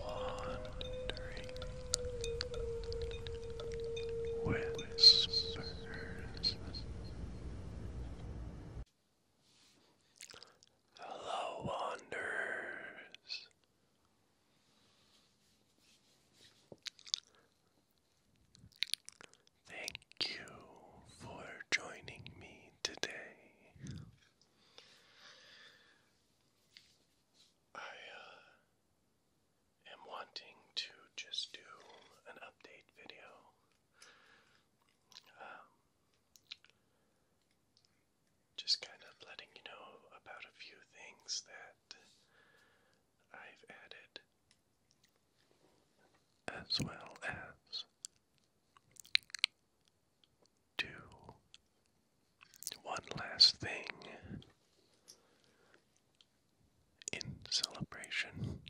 Wandering Whispers. Hello, Wanderers. Thank you for joining me today. I uh, am wanting to just do an update video. Um, just kind of letting you know about a few things that I've added, as well as do one last thing in celebration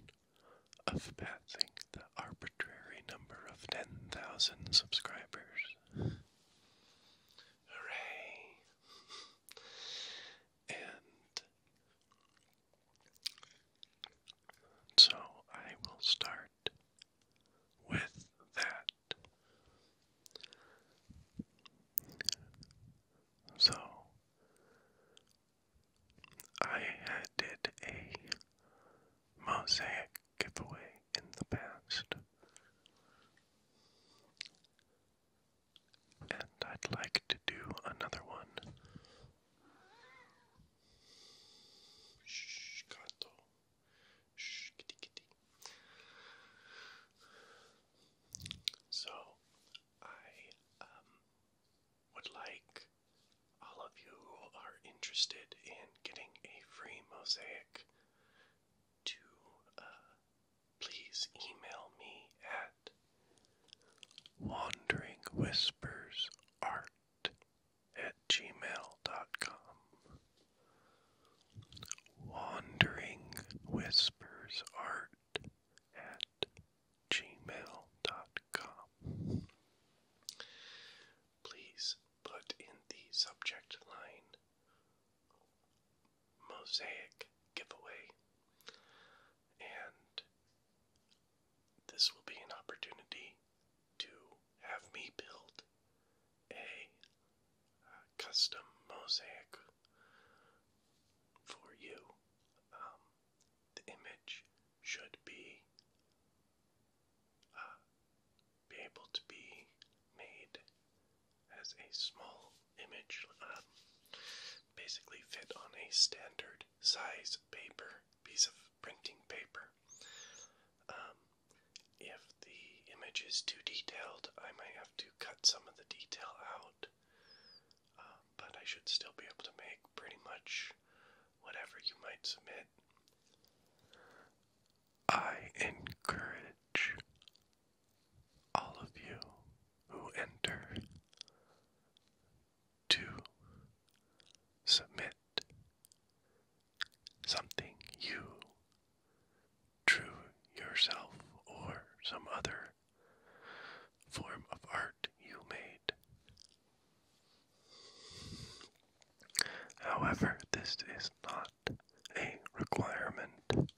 of passing the arbitrary number of 10,000 subscribers. Hooray! and so I will start with that. So I had did a mosaic giveaway in the past. And I'd like to do another one. Shh, Gato. Shh, kitty, kitty. So, I um, would like all of you who are interested in getting a free mosaic to uh, please email me at wanderingwhispersart at gmail.com. Wandering Whispers Art at gmail.com. Please put in the subject line Mosaic Giveaway, and this will be an opportunity to have me build a, uh, custom mosaic for you. Um, the image should uh, be able to be made as a small image, um, basically fit on a standard size paper piece of printing paper. Um, if the image is too detailed, I might have to cut some of the detail out, um, but I should still be able to make pretty much whatever you might submit. I encourage all of you who enter to submit Something you, true yourself, or some other form of art you made. However, this is not a requirement.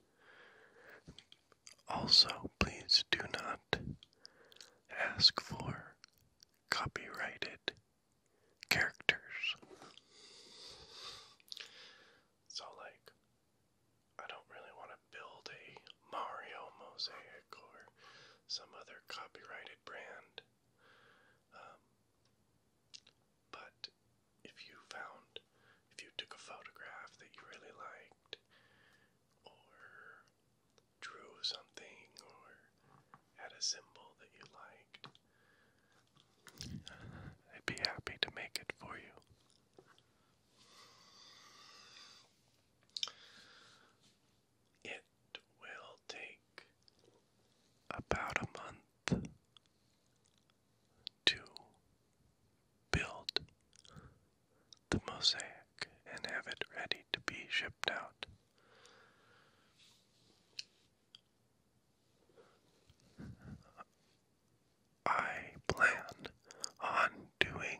Also, please do not ask for copyrighted characters. So, like, I don't really want to build a Mario mosaic or some other copyrighted brand. Um, but if you found, if you took a photograph that you really liked, or drew something, or had a symbol that you liked, I'd be happy to make it for you. It will take about a month to build the mosaic and have it ready to be shipped out. I plan on doing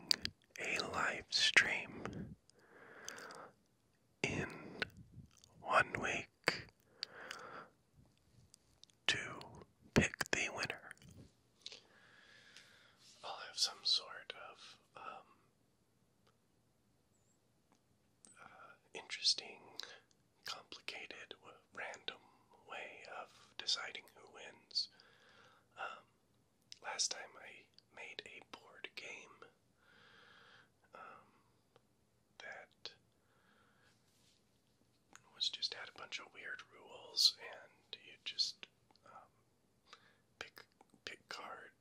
a live stream in one week to pick the winner. I'll have some sort of um, uh, interesting, complicated, random way of deciding who wins. Um, last time I made a board game um, that was just had a bunch of weird rules, and you just um, pick pick card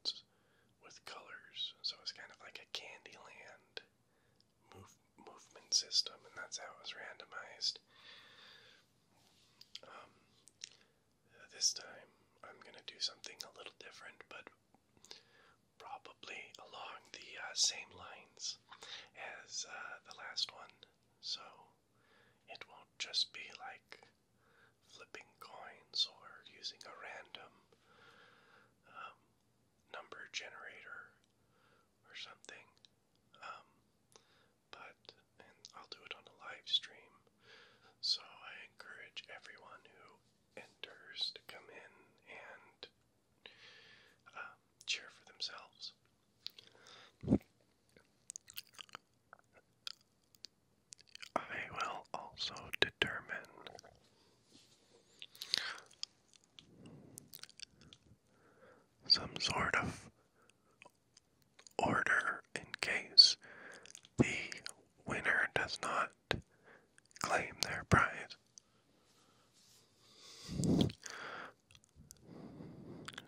with colors. So it's kind of like a Candyland move, movement system, and that's how it was randomized. Um, this time I'm gonna do something a little different, but probably along the uh, same lines as uh, the last one. So it won't just be like flipping coins or using a random um, number generator or something. Um, but, I'll do it on a live stream. So I encourage everyone who enters to come in and um, cheer for themselves. I will also determine some sort of order in case the winner does not claim their prize.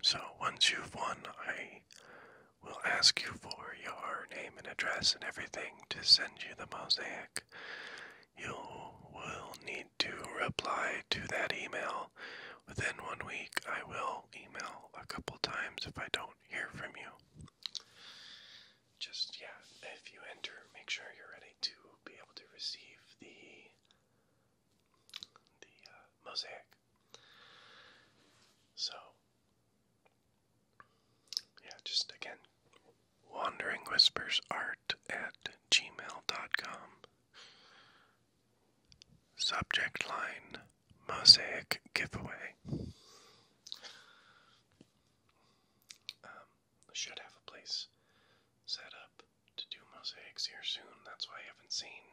So once you've won, I will ask you for your name and address and everything to send you the mosaic you will need to reply to that email within one week. I will email a couple times if I don't hear from you. Just, yeah, if you enter, make sure you're ready to be able to receive the, the uh, mosaic. So, yeah, just again, wandering whispers art at gmail.com. Subject line Mosaic Giveaway. Um, should have a place set up to do mosaics here soon. That's why I haven't seen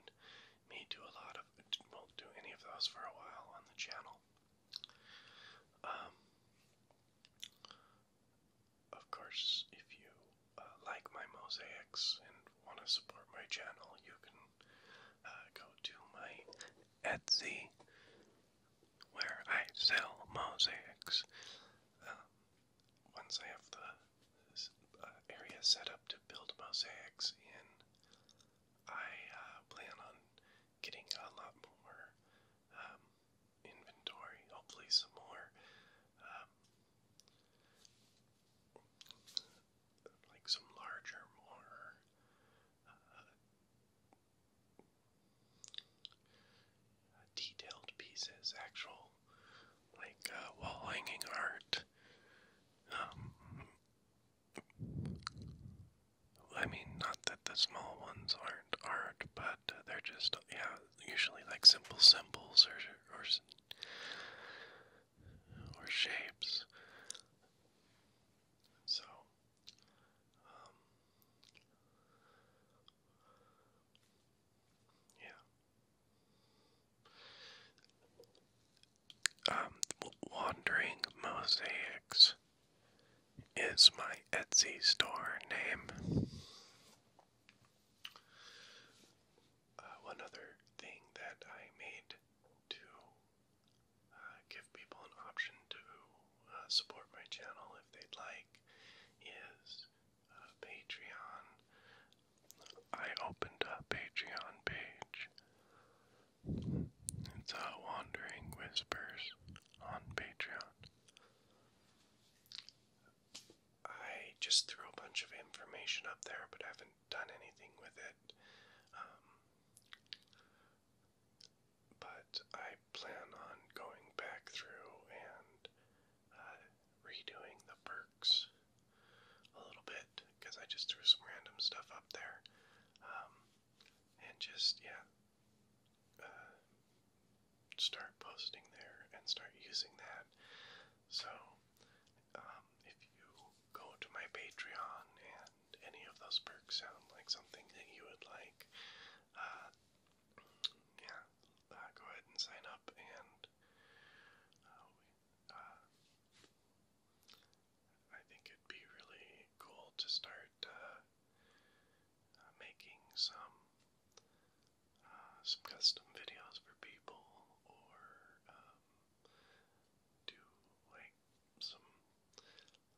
me do a lot of, well, do any of those for a while on the channel. Um, of course, if you uh, like my mosaics and want to support my channel, you can uh, go to my Etsy where I sell mosaics. Um, once I have the uh, area set up to build mosaics in, I plan on getting a lot more um, inventory. Hopefully, some more. Um, like some larger, more uh, detailed pieces, actual like uh, wall hanging art. Um, I mean, not that the small ones aren't art, but they're just, yeah, usually like simple symbols or or shapes. So, um, yeah. Um, wandering mosaics is my Etsy store name. Uh, one other thing that I made to uh, give people an option to uh, support my channel if they'd like is uh, Patreon. I opened a Patreon page. It's uh, Wandering Whispers on Patreon. I just threw a bunch of information up there, but I haven't done anything with it. Um, but I plan on going back through and uh, redoing the perks a little bit because I just threw some random stuff up there. Um, and just, yeah, start posting there and start using that. So, um, if you go to my Patreon and any of those perks sound like something that you would like, uh, yeah, uh, go ahead and sign up and. Uh, I think it'd be really cool to start making some uh, some custom videos for people or um, do like some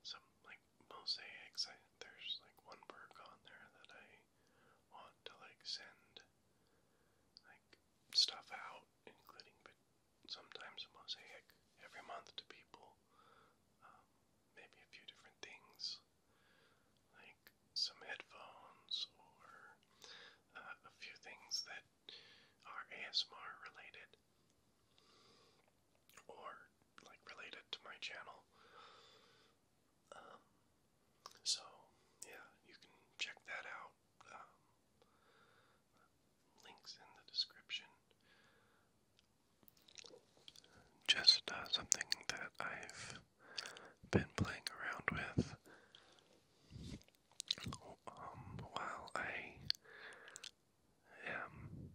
some like mosaics. I, there's like one work on there that I want to like send like stuff out, including sometimes a mosaic every month to people. Um, maybe a few different things like some headphones or uh, a few things that are ASMR related or like related to my channel. Um, so yeah, you can check that out. Um, links in the description just uh, something that I've been playing around with um, while I am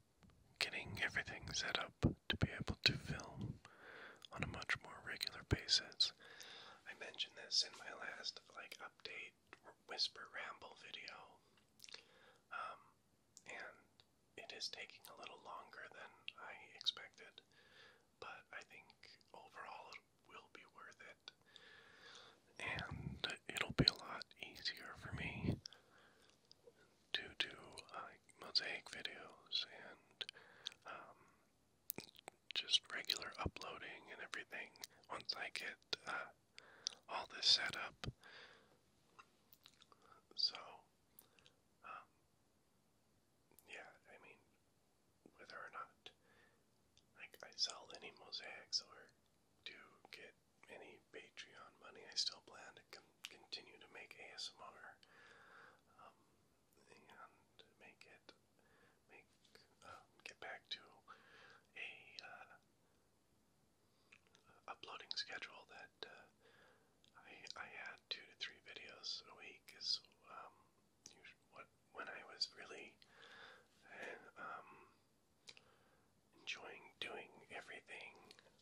getting everything set up to be able to film on a much more regular basis. I mentioned this in my last like update whisper ramble video. Um, and it is taking a little longer than I expected, but I think overall it will be worth it, and it'll be a lot easier for me to do uh, mosaic videos and um, just regular uploading and everything once I get uh, all this set up. So, um, yeah, I mean, whether or not, like, I sell any mosaics or do get any Patreon money, I still plan to continue to make ASMR, um, and make it, make, um, get back to a, uh, uploading schedule that, uh, I I had two to three videos a week is um what when I was really uh, um enjoying doing everything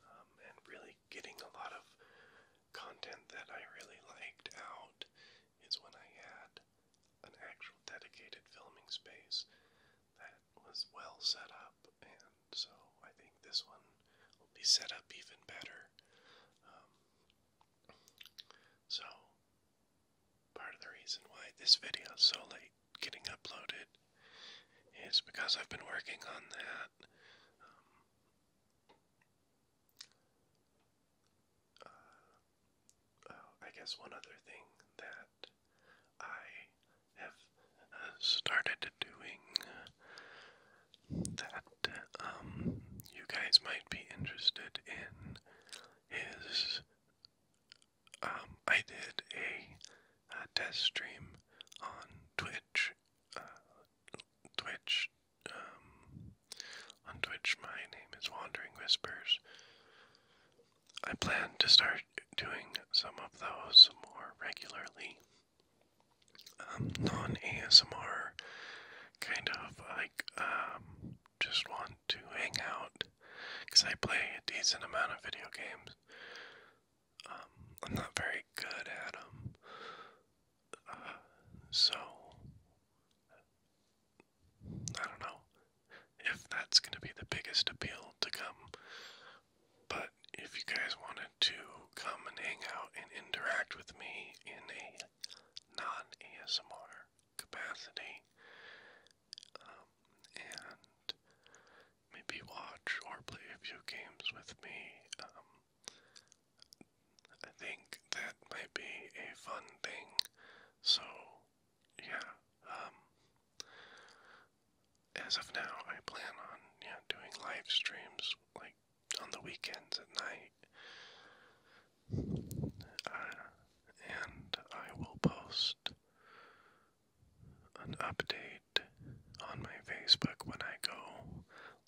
um, and really getting a lot of content that I really liked out is when I had an actual dedicated filming space that was well set up and so I think this one will be set up even better. Um, so, part of the reason why this video is so late getting uploaded is because I've been working on that. Um, uh, oh, I guess one other thing that I have uh, started doing that um, you guys might be interested in is um, I did a, uh, test stream on Twitch. Uh, Twitch, um, on Twitch, my name is Wandering Whispers. I plan to start doing some of those more regularly um, non ASMR kind of like um, just want to hang out because I play a decent amount of video games. Um, I'm not very good at them, uh, so I don't know if that's going to be the biggest appeal to come, but if you guys wanted to come and hang out and interact with me in a non ASMR capacity, um, and maybe watch or play a few games with me, um, I think that might be a fun thing. So, yeah, um, as of now, I plan on yeah doing live streams like on the weekends at night. Uh, and I will post an update on my Facebook when I go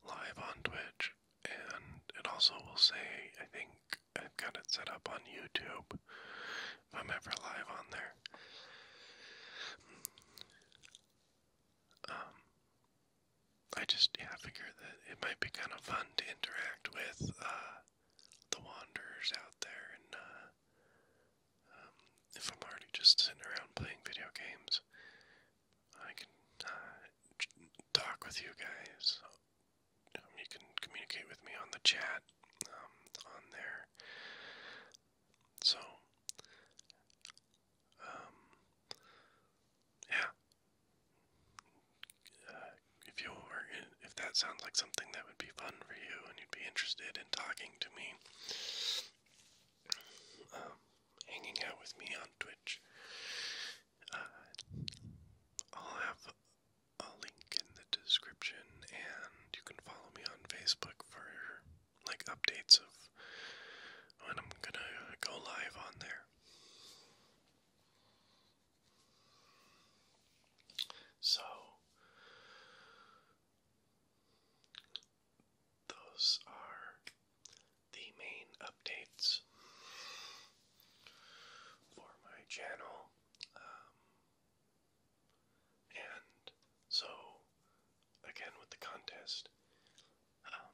live on Twitch. And it also will say, I think I've got it set up on YouTube if I'm ever live on there. Um, I just yeah figure that it might be kind of fun to interact with uh, the wanderers out there, and uh, um, if I'm already just sitting around playing video games, I can uh, talk with you guys. Um, you can communicate with me on the chat um, on there. So um, yeah. Uh, if you were, if that sounds like something that would be fun for you, and you'd be interested in talking to me, um, hanging out with me on Twitch, uh, I'll have a link in the description, and you can follow me on Facebook for like updates of when I'm gonna go live on there. So those are the main updates for my channel. Um, and so, again, with the contest, um,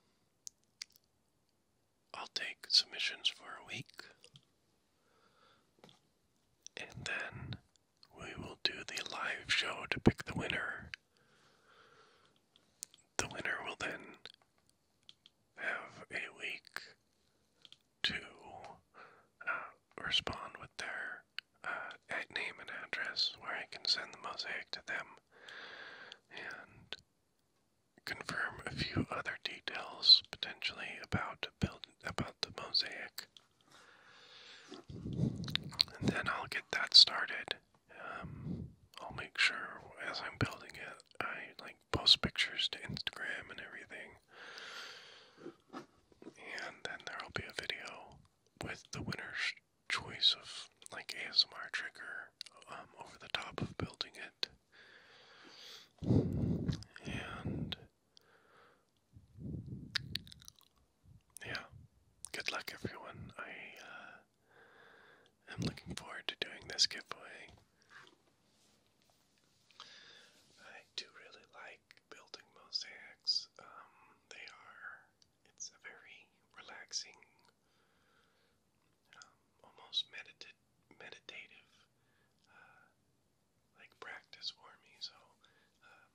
I'll take submissions for a week. And then we will do the live show to pick the winner. The winner will then have a week to uh, respond with their uh, name and address where I can send the mosaic to them and confirm a few other details potentially about about the mosaic. And then I'll get that started. Um, I'll make sure as I'm building it, I like post pictures to Instagram and everything. And then there'll be a video with the winners choice of like ASMR trigger um, over the top of building it. And yeah, good luck everyone. I uh, am looking forward to doing this giveaway. I do really like building mosaics. Um, they are it's a very relaxing, um, almost medita meditative uh, like practice for me. So um,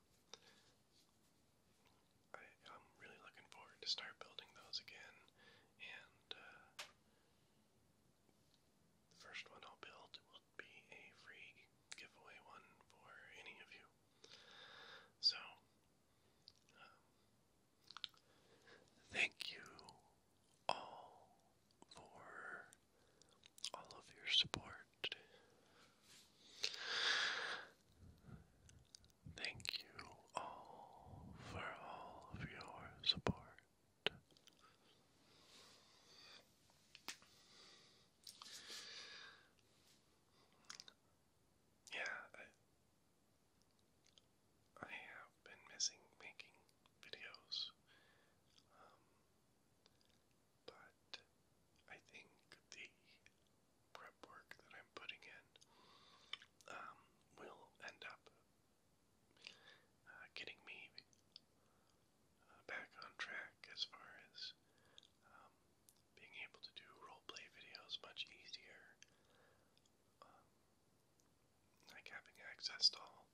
I, am really looking forward to start building those again. And uh, the first one I'll build will be a free giveaway one for any of you. So. Um, Thank you all for all of your support. Thank you all for all of your support. Yeah, I have been missing making videos, um, but I think the prep work that I'm putting in um, will end up uh, getting me uh, back on track as far as um, being able to do roleplay videos much easier like having access to all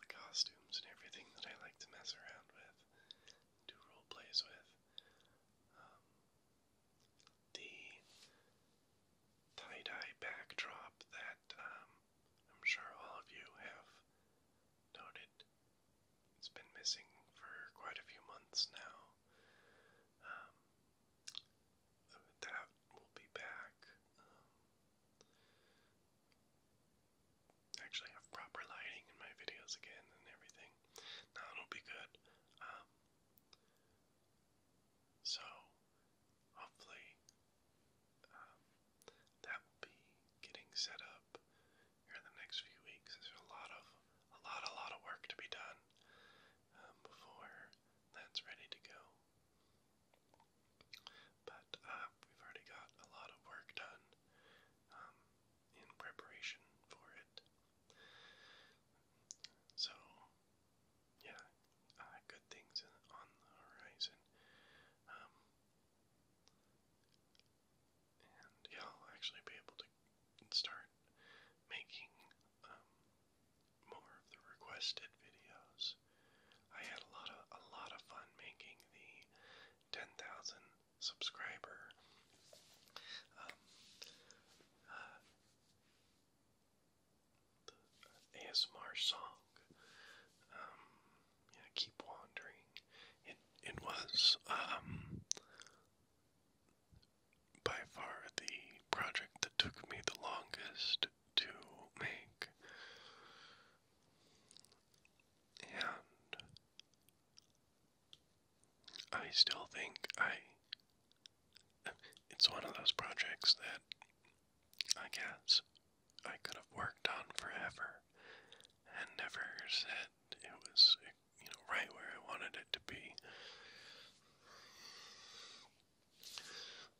the costumes and everything that I like to mess around with, do role plays with. Um, the tie-dye backdrop that um, I'm sure all of you have noted it's been missing for quite a few months now. Um, that will be back. Um, actually, have proper lighting in my videos again and everything. Now it'll be good. Um, so, hopefully, um, that will be getting set up here in the next few weeks. There's a lot of, a lot, a lot of work to be done before that's ready to go. But uh, we've already got a lot of work done um, in preparation for it. So, yeah, uh, good things on the horizon. Um, and yeah, I'll actually be able to and start making um, more of the requested videos. I had a lot of a lot of fun making the ten thousand subscriber um, uh, ASMR song. Um, yeah, keep wandering. It it was by far the project that took me the longest to make. And I still think I. It's one of those projects that I guess I could have worked on forever and never said it was, you know, right where I wanted it to be.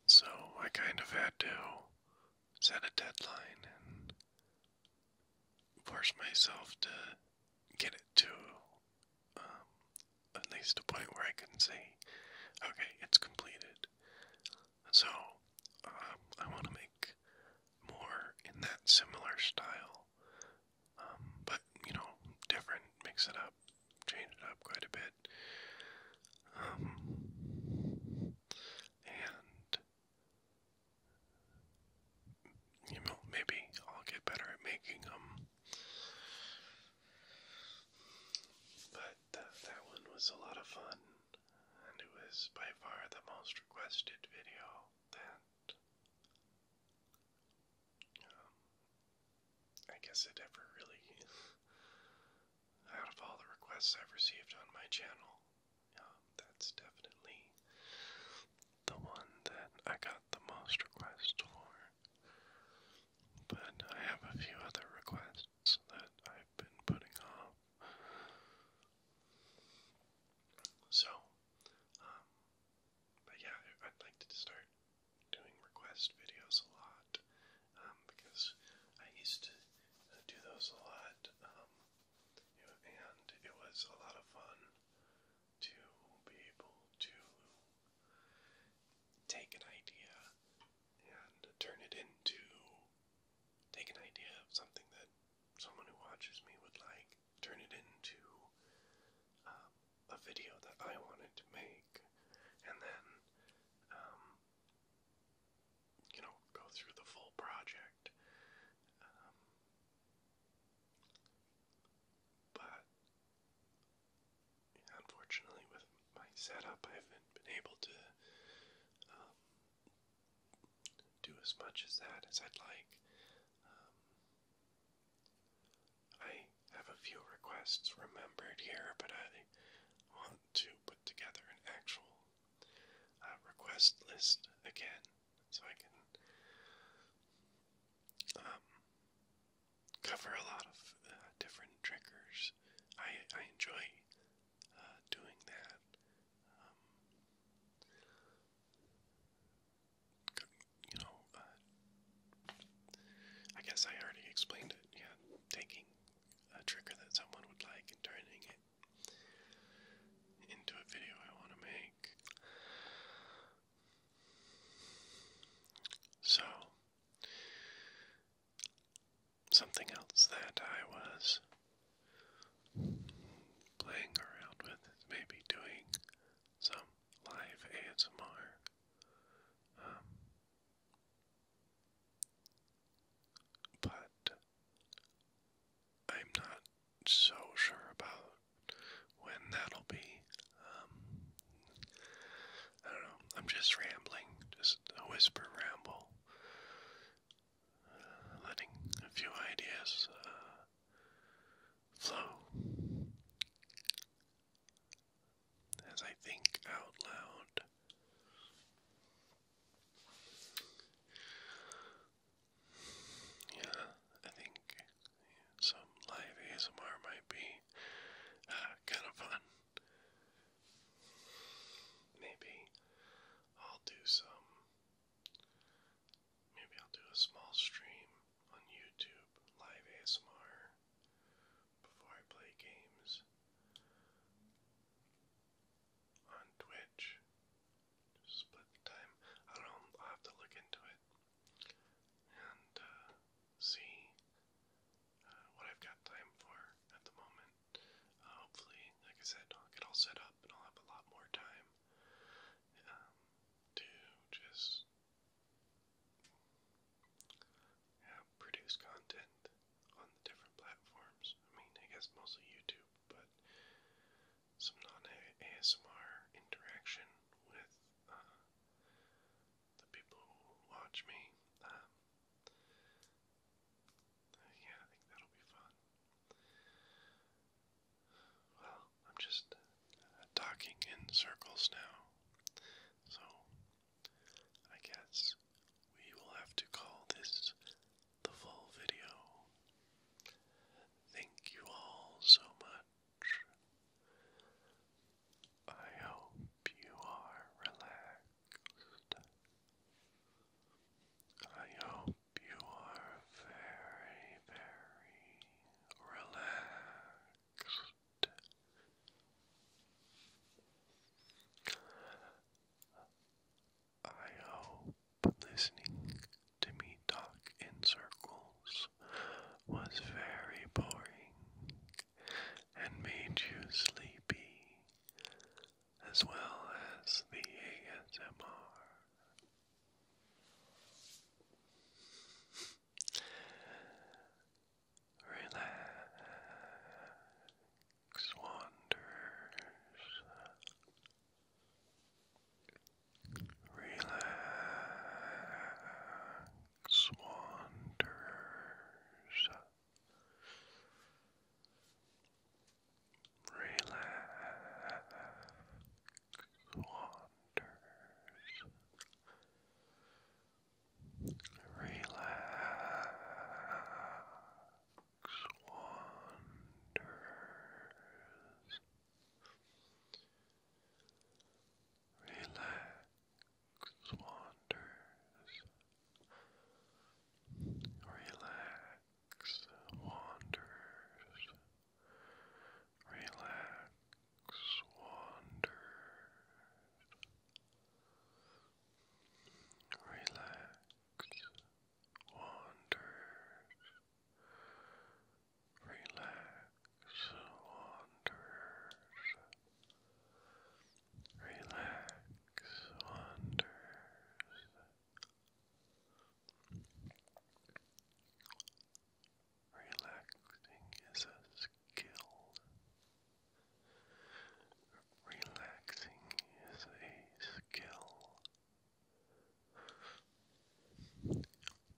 So I kind of had to set a deadline and force myself to get it to um, at least a point where I can say, okay, it's completed. So um, I want to make more in that similar style um, but, you know, different, mix it up, change it up quite a bit. Um, and, you know, maybe I'll get better at making them. But that one was a lot of fun, and it was by far the most requested video that um, I guess it ever really. out of all the requests I've received on my channel, um, that's definitely the one that I got the most requests for. But I have a few other requests that I've been putting off. So, um, but yeah, I'd like to start doing request videos a lot um, because I used to uh, do those a lot, um, and it was a lot of fun to be able to take an idea and turn it into take an idea of something that someone who watches me would like, turn it into um, a video that I wanted to make, and then, um, you know, go through the full project. Um, but unfortunately, with my setup, I haven't been able to um, do as much as that as I'd like. I have a few requests remembered here, but I want to put together an actual uh, request list again so I can um, cover a lot of uh, different triggers. I, enjoy uh, doing that. Um, you know, uh, I guess I already explained it. taking a trigger that someone would like and turning it into a video I want to make. So, something else that I was playing around with is maybe doing some live ASMR um, but I'm not so sure about when that'll be. Um, I don't know. I'm just rambling, just a whisper ramble, uh, letting a few ideas uh, flow as I think out loud. Yeah, I think some live ASMR might be uh, kind of fun. Maybe I'll do some. Maybe I'll do a small stream on YouTube, live ASMR, before I play games on Twitch. split the time. I don't know, I'll have to look into it and uh, see uh, what I've got time for at the moment. Uh, hopefully, like I said, I'll get all set up and I'll have a lot more time um, to just yeah, produce content on the different platforms. I mean, I guess mostly YouTube, but some non-ASMR interaction with uh, the people who watch me. Um, yeah, I think that'll be fun. Well, I'm just talking uh, in circles now, so I guess we will have to call this the full video. Thank you all so much. I hope you are relaxed. I hope you are very, very relaxed. I hope listening to me talk in circles was very boring and made you sleepy, as well as the ASMR. Relax, wanders. Relax, wanders. Relax, wanders. Relax wanders. Relax wanders. Relax wanders. Relax wanders, relax, wanders, relax, wanders, relax, wanders. Relaxing is a skill. Relaxing is a skill.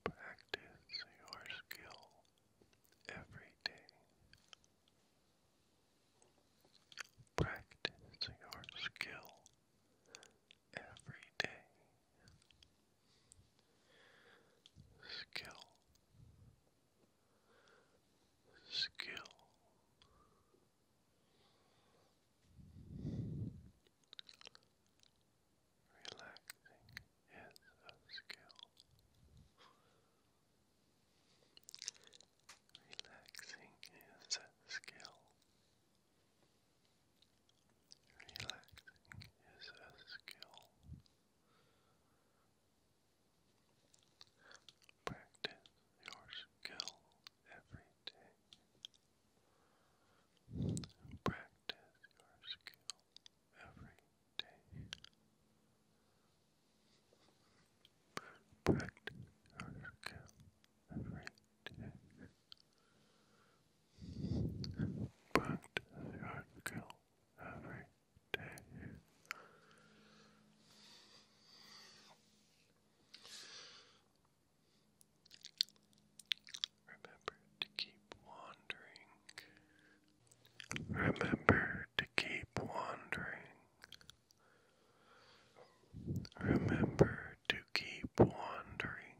Practice your skill every day. Practice your skill every day. Skill skill. Relaxing is a skill. Relaxing is a skill. Relaxing is a skill. Practice your skill every day. Practice your skill every day. Practice your skill every day. Practice your skill every day. Remember to keep wandering. Remember to keep wandering. Remember to keep wandering.